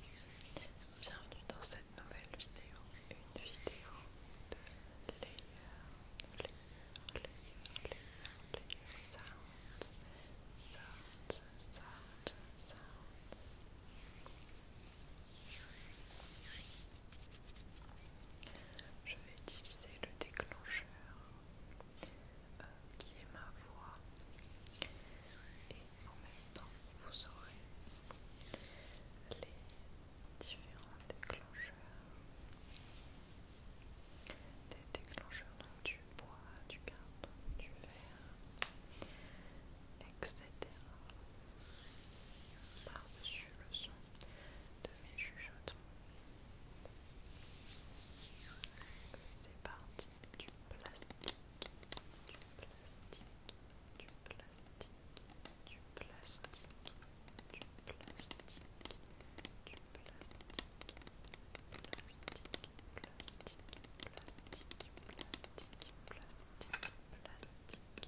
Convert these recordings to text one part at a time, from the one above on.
Bienvenue dans cette nouvelle vidéo, une vidéo de layer, layer, layer, layer, layer, sound, sound, sound, sound. Je vais utiliser le déclencheur euh, qui est ma voix et en même temps vous aurez les différents déclencheurs des déclencheurs du bois, du carton, du verre, etc. Par-dessus le son de mes chuchotements. C'est parti du plastique, du plastique, du plastique, du plastique, du plastique, du plastique, plastique, plastique, plastique, plastique, plastique, plastique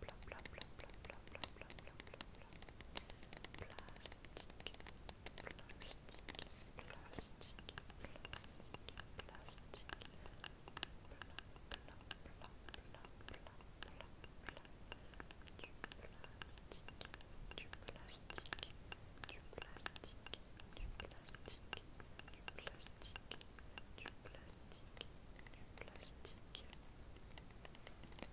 plastique plastique plastique plastique plastique du plastique du plastique du plastique du plastique plastique plastique plastique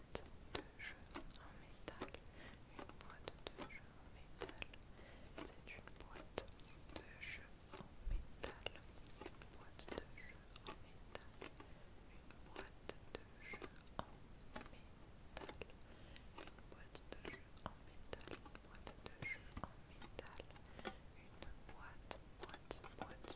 une boîte de jeu en métal. Une boîte de jeu en métal. C'est une boîte de jeu en métal. Une boîte de jeu en métal. Une boîte de jeu en métal. Une boîte de jeu en métal. Une boîte de jeu en métal. Une boîte, boîte, boîte,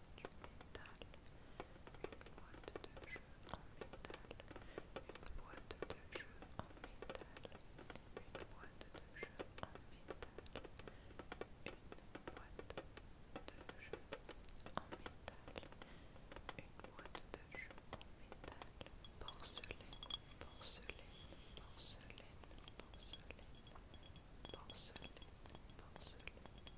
du métal, une boîte de jeu en métal, une boîte de jeu en métal, une boîte de jeu en métal, une boîte de jeu en métal, une boîte de jeu en métal, porcelaine, porcelaine, porcelaine, porcelaine, porcelaine, porcelaine.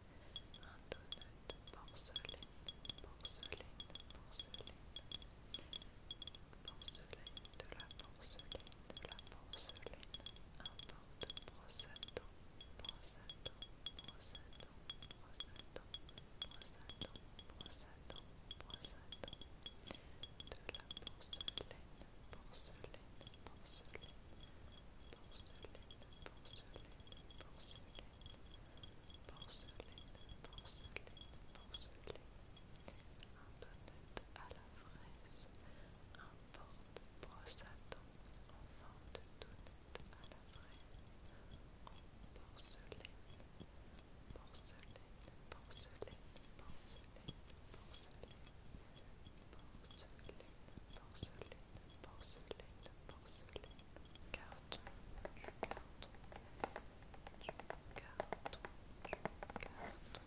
un donut porcelaine, de la porcelaine, de la porcelaine, un de la porcelaine, porcelaine, porcelaine, porcelaine, un à la fraise, un porte à en à la fraise, porcelaine, porcelaine, porcelaine porcelaine, carton, du carton, jeu en carton, des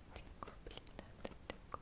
verre, verre, verre,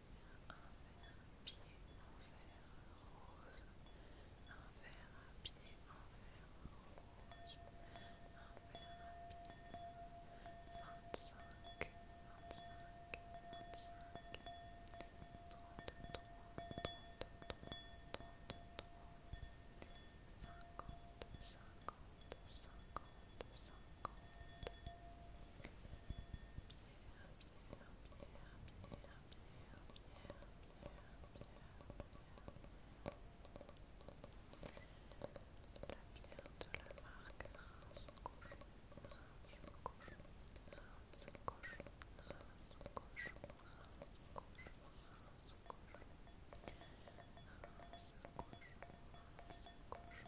un pied en rose, un verre à pied en rose, un verre à pied 25, 25, 25, 33, 50, 50, 50, 50, la de marque cochon,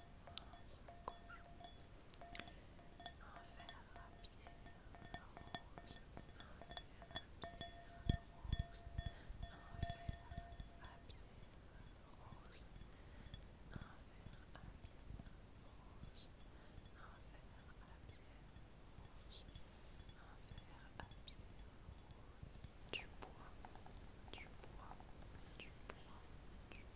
du bois, du bois, du du bois.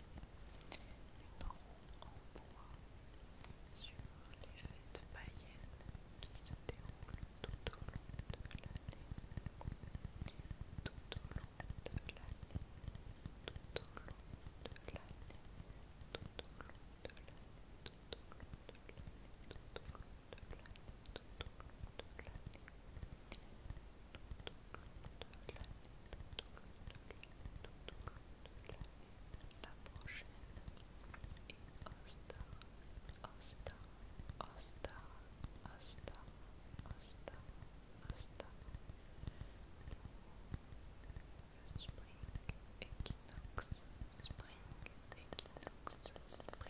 Une roue en bois sur les fêtes païennes qui se déroulent tout au long de l'année. Tout au long de l'année. Tout long de Tout au long de Tout long Tout de Tout au long de l'année la prochaine et Ostar spring équinoxe, spring spring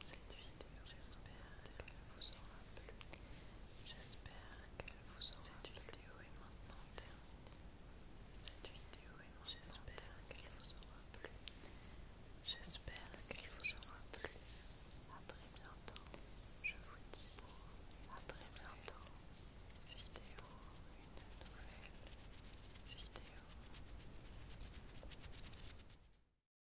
cette vidéo. J'espère qu'elle vous aura plu. J'espère qu'elle vous aura cette vidéo est maintenant terminée. Cette vidéo est J'espère qu'elle vous aura plu. J'espère qu'elle vous aura plu. À très bientôt. Je vous dis à très bientôt. Vidéo, une nouvelle vidéo.